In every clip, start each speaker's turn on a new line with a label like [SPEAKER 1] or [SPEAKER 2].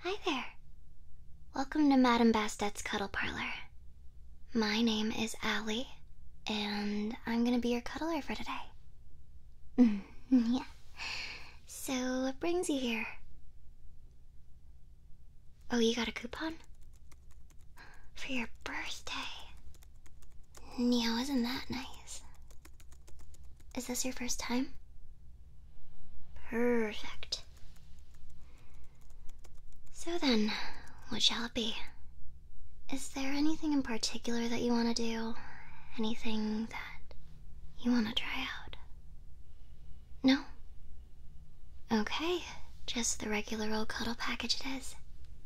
[SPEAKER 1] Hi there. Welcome to Madame Bastet's Cuddle Parlor. My name is Allie, and I'm gonna be your cuddler for today. yeah. So, what brings you here? Oh, you got a coupon? For your birthday. Neo, isn't that nice? Is this your first time? Perfect. So then, what shall it be? Is there anything in particular that you want to do? Anything that you want to try out? No? Okay, just the regular old cuddle package it is.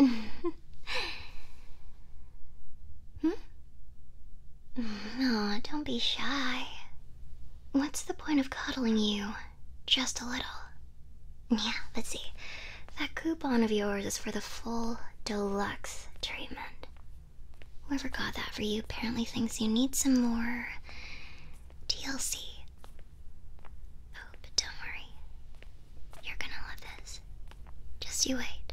[SPEAKER 1] hmm? No, don't be shy. What's the point of cuddling you? Just a little. Yeah, let's see. That coupon of yours is for the full deluxe treatment. Whoever got that for you apparently thinks you need some more TLC. Oh, but don't worry. You're gonna love this. Just you wait.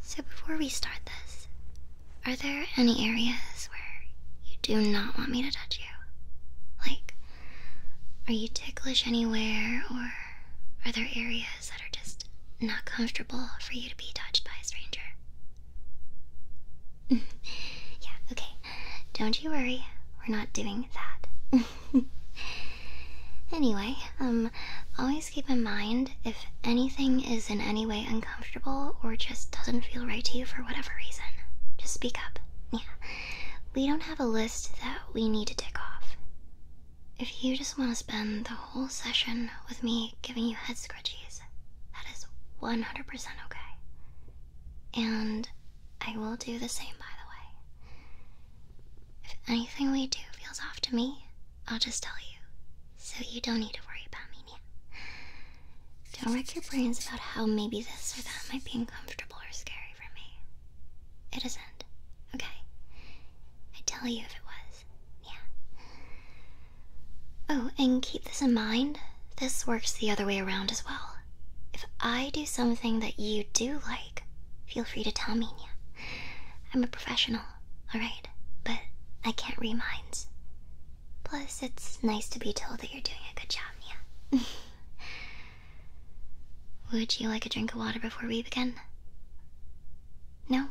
[SPEAKER 1] So before we start this, are there any areas where you do not want me to touch you? Like, are you ticklish anywhere, or are there areas that are just not comfortable for you to be touched by a stranger? yeah, okay. Don't you worry, we're not doing that. anyway, um, always keep in mind if anything is in any way uncomfortable or just doesn't feel right to you for whatever reason, just speak up. Yeah, we don't have a list that we need to tick off. If you just want to spend the whole session with me giving you head scrunchies, that is 100% okay. And I will do the same, by the way. If anything we do feels off to me, I'll just tell you so you don't need to worry about me now. Don't wreck your brains about how maybe this or that might be uncomfortable or scary for me. It isn't, okay? I'd tell you if it was, yeah. Oh, and keep this in mind this works the other way around as well. If I do something that you do like, feel free to tell me, Nia. I'm a professional, alright? But I can't remind. Plus, it's nice to be told that you're doing a good job, Nia. Would you like a drink of water before we begin? No?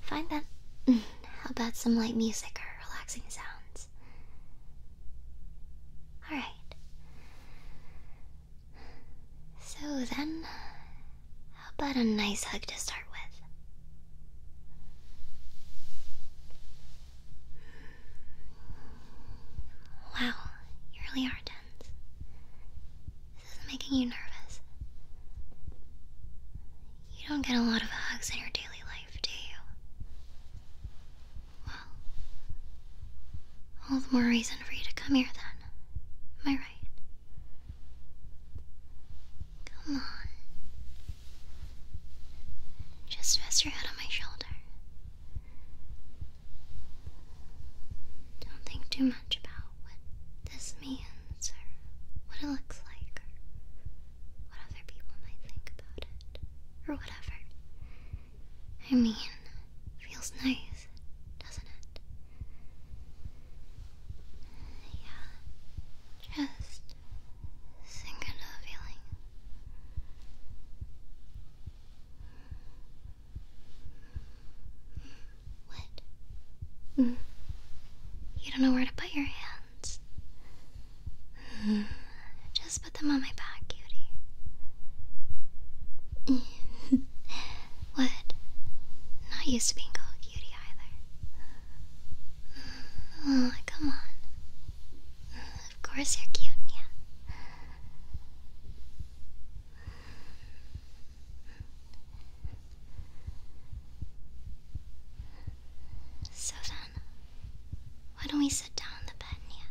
[SPEAKER 1] Fine then. How about some light music or relaxing sounds? Alright. So then, how about a nice hug to start with? Wow, you really are tense. This is making you nervous. You don't get a lot of hugs in your daily life, do you? Well, all the more reason for you to come here then. Am I right? Come on. Just rest your head on my shoulder. Don't think too much about what this means or what it looks like or what other people might think about it or whatever. I mean, feels nice, doesn't it? Yeah, just sink into the feeling. What? Mm. You don't know where to put your hands. Mm. Just put them on my back, cutie. what? Not used to being called cutie either. Oh, come on. Of course you're cute, yeah. So then, why don't we sit down on the bed, Nia?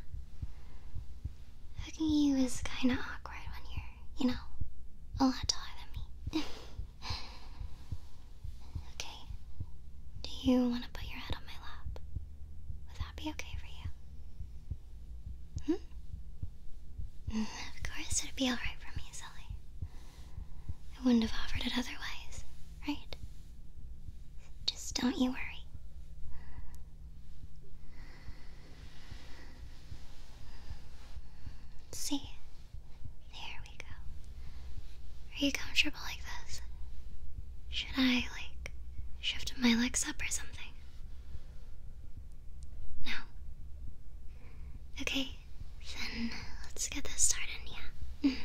[SPEAKER 1] Hugging you is kinda awkward when you're, you know, a lot taller than me. Okay. Do you want to put your head on my lap? Would that be okay for you? Hmm? Mm, of course, it'd be alright for me, silly. I wouldn't have offered it otherwise, right? Just don't you worry. See, there we go. Are you comfortable like this? Should I, like, shift my legs up or something? No? Okay, then let's get this started, yeah?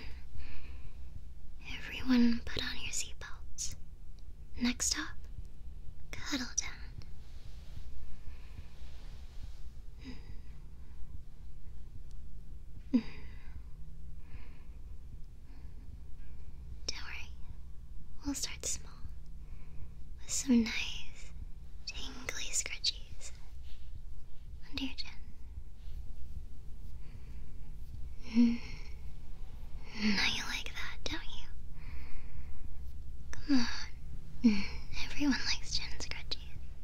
[SPEAKER 1] Everyone put on your seatbelts. Next stop, cuddle down. Don't worry, we'll start small with some nice tingly scrunchies under your chin. Now mm-hmm. you like that, don't you? Come on, everyone likes chin scratches.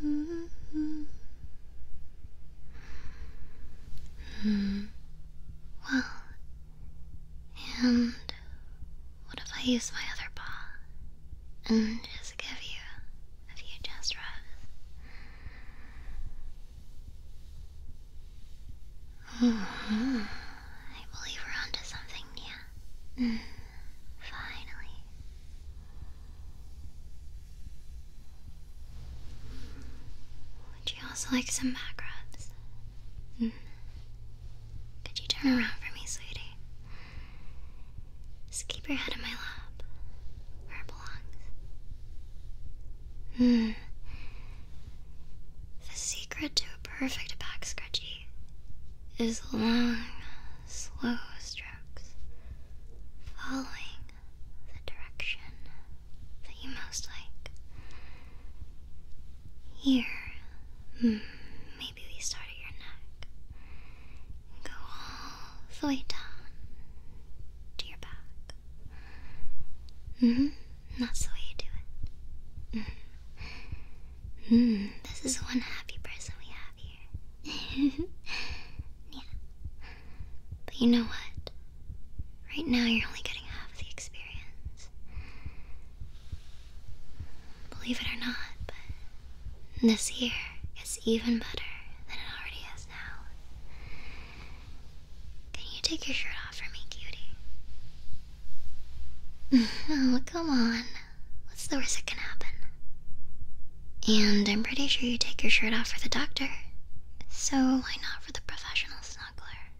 [SPEAKER 1] Hmm. Well, and what if I use my other paw and just give you a few chest rubs? -hmm. I believe we're onto something new. Finally. Would you also like some back mm. Could you turn around for me, sweetie? Just keep your head in my lap, where it belongs. Hmm. The secret to perfect back scratchy is long, slow strokes following the direction that you most like. Here, hmm, maybe we start at your neck go all the way down to your back. Mm hmm, that's the way you do it. Mm-hmm. Hmm, this is one happy person we have here. yeah. But you know what? Right now you're only getting half the experience. Believe it or not, but this here is even better than it already is now. Can you take your shirt off for me, cutie? oh, come on. What's the worst that can happen? And I'm pretty sure you take your shirt off for the doctor, so why not for the professional snuggler?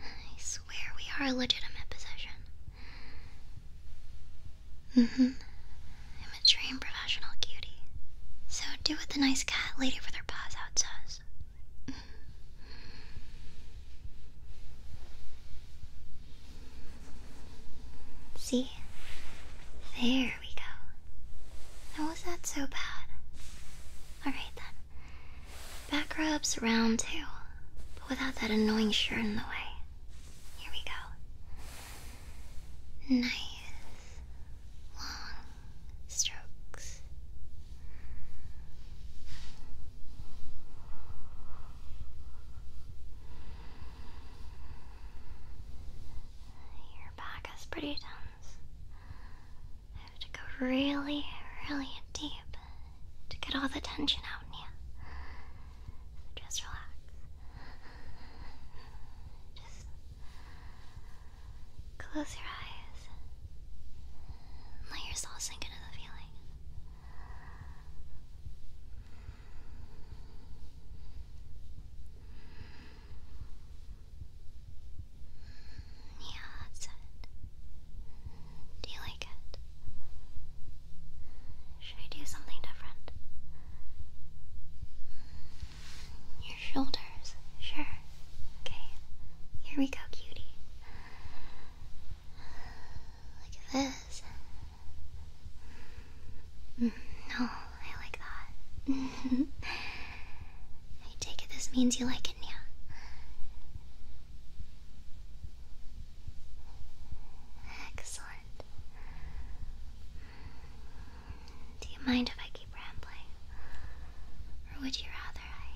[SPEAKER 1] I swear we are a legitimate possession. Mm hmm. I'm a trained professional cutie, so do what the nice cat lady with her paws out says. Mm-hmm. See? There we go. How was that so bad? Alright then. Back rubs round two, but without that annoying shirt in the way. Here we go. Nice, long strokes. Your back is pretty tense. I have to go really, really deep to get all the tension out in you. Just relax. Just close your eyes. Let yourself sink into the feeling. Yeah, that's it. Do you like it? Should I do something different? Your shoulders, sure. Okay, here we go, cutie. Like this, no, I like that. I take it this means you like it, Nia. Excellent. Do you mind if I keep rambling? Or would you rather I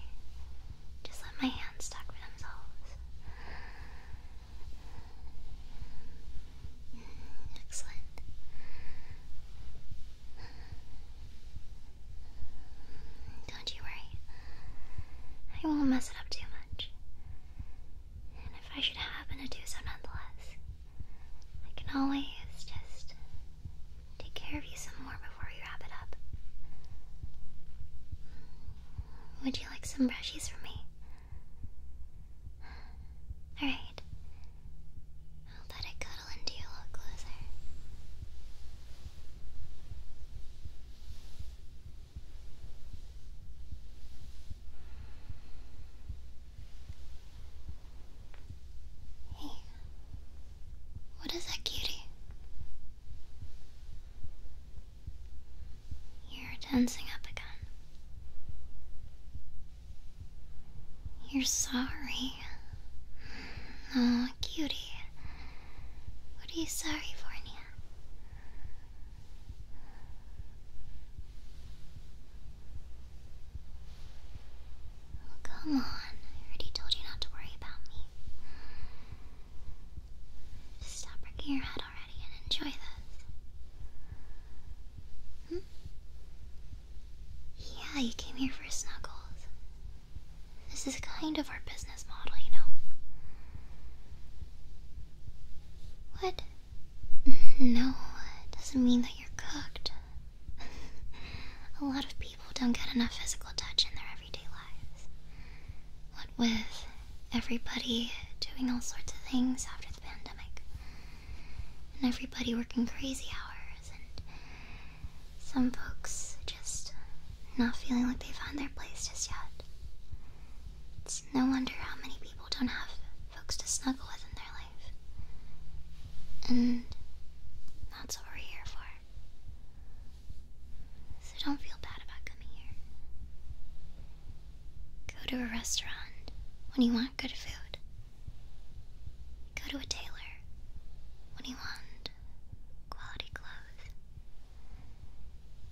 [SPEAKER 1] just let my hands talk for themselves? Excellent. Don't you worry. I won't mess it up too much. And if I should happen to do so nonetheless, I can always just take care of you some more before we wrap it up. Would you like some brushes for me? Alright. I'll let it cuddle into you a little closer. Hey, what is that cutie? You're dancing up again. You're sorry. Oh, cutie. What are you sorry for, Nia? come on. I already told you not to worry about me stop breaking your head already and enjoy this. Hmm? Yeah, you came here for snuggles. This is kind of our business model, you know. What? No, it doesn't mean that you're cooked. A lot of people don't get enough physical touch in their everyday lives. What with everybody doing all sorts of things after the pandemic, and everybody working crazy hours, and some folks just not feeling like they find their place just yet. It's no wonder how many people don't have folks to snuggle with in their life. And that's what we're here for. So don't feel bad about coming here. Go to a restaurant when you want good food. Go to a tailor when you want quality clothes.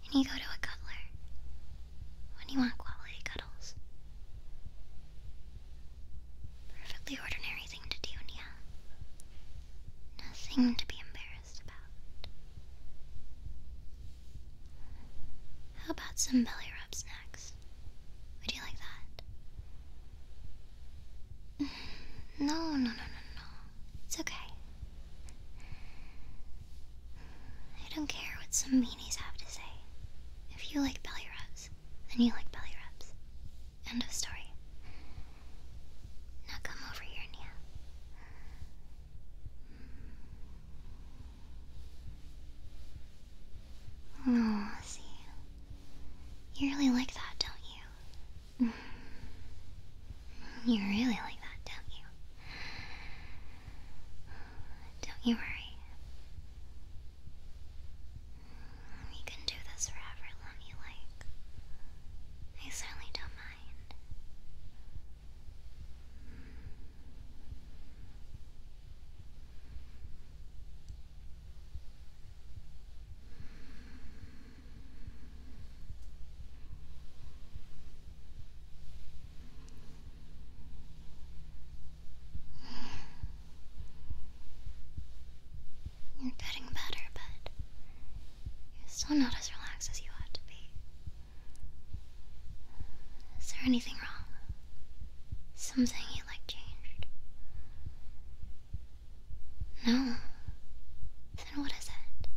[SPEAKER 1] And you go to a cutler when you want quality cuddles. Perfectly ordinary thing to do, yeah. Nothing to be embarrassed how about some belly rubs next? Would you like that? No, no, no, no, no. It's okay. I don't care what some meanies have to say. If you like belly rubs, then you like belly rubs. End of story. Now come over here, Nia. Oh, see. You really like that, don't you? Mm-hmm. You really like that, don't you? Don't you worry. You can do this for however like. I certainly don't mind. You're getting better, but you're still not as relaxed as you ought to be. Is there anything wrong? Something you like changed? No. Then what is it?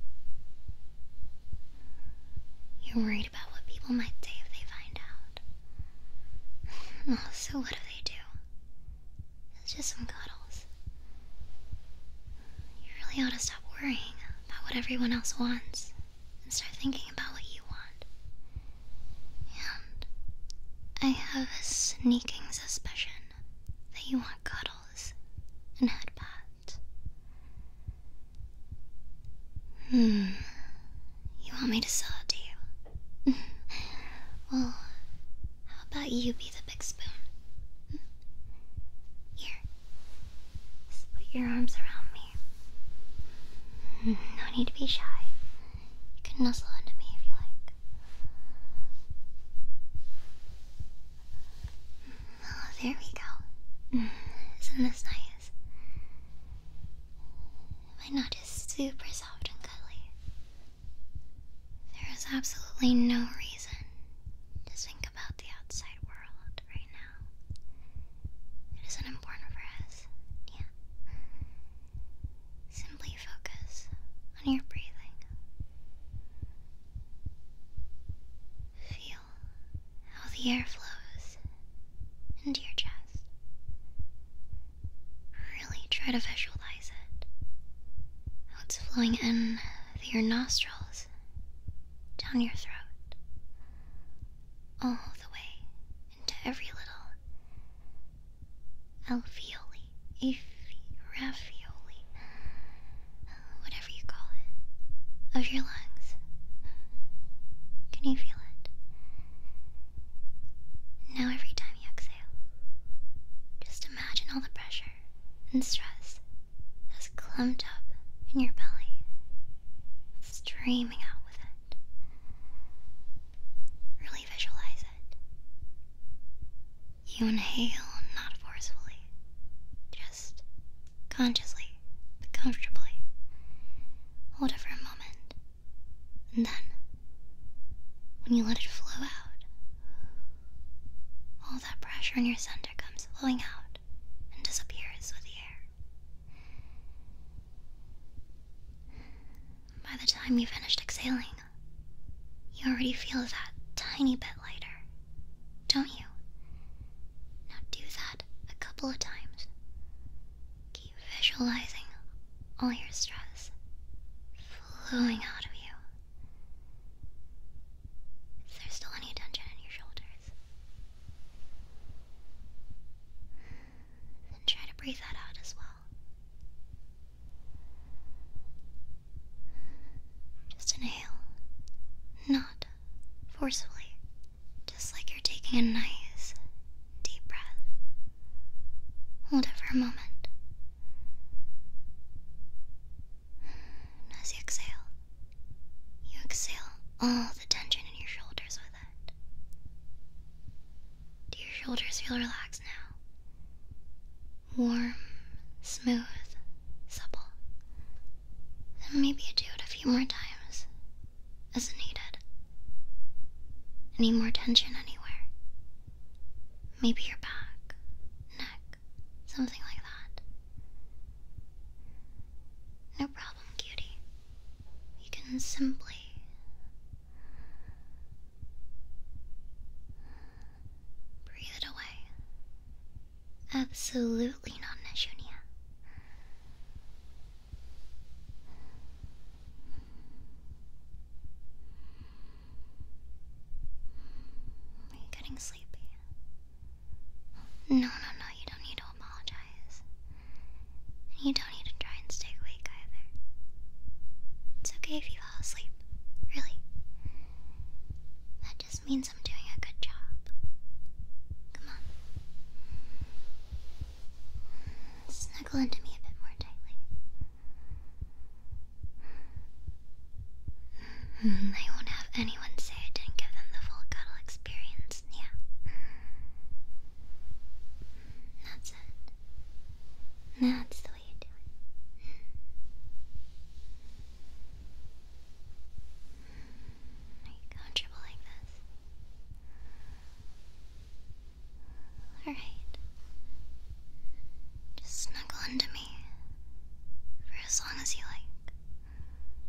[SPEAKER 1] You're worried about what people might say if they find out. well, so what do they do? It's just some cuddles. You really ought to stop worrying about what everyone else wants and start thinking about what you want. And I have a sneaking suspicion that you want cuddles and head pats. Hmm. You want me to sell it to you? well, how about you be the big spoon? Hmm? Here, just put your arms around me. No need to be shy. You can nuzzle into me if you like. Oh, there we go. Isn't this nice? My nut is super soft and cuddly. There is absolutely no reason to think about the outside world right now. It isn't important for us. Yeah. Simply focus on your breathing. Feel how the air flows into your chest. Really try to visualize it. How it's flowing in through your nostrils, down your throat, all the way into every little alveoli, iffy, raffioli, uh, whatever you call it, of your lungs. Can you feel it? Now, every time you exhale, just imagine all the pressure and stress that's clumped up in your belly streaming out with it. Really visualize it. You inhale, not forcefully, just consciously but comfortably. Hold it for a moment, and then when you let it flow out, all that pressure in your center comes flowing out and disappears with the air. By the time you finish exhaling, you already feel that tiny bit lighter, don't you? Now do that a couple of times. Keep visualizing all your stress flowing out of you. Is there still any tension in your shoulders? Then try to breathe that out as well. Just inhale, not forcibly, just like you're taking a nice deep breath. Hold it for a moment. As you exhale, you exhale all the tension in your shoulders with do your shoulders feel relaxed now? Warm, smooth, supple. Then maybe you do it a few more times as needed. Any more tension anywhere? Maybe your back, neck, something like that. No problem, cutie. You can simply breathe it away. Absolutely not, Neshunia. Are you getting sleepy? No, no, no, you don't need to apologize. And you don't need to try and stay awake either. It's okay if you fall asleep, really. That just means I'm doing a good job. Come on. Snuggle into me a bit more tightly. I won't have anyone say I didn't give them the full cuddle experience, yeah. That's it. That's the way you do it. Are you comfortable like this? Alright. Just snuggle into me for as long as you like.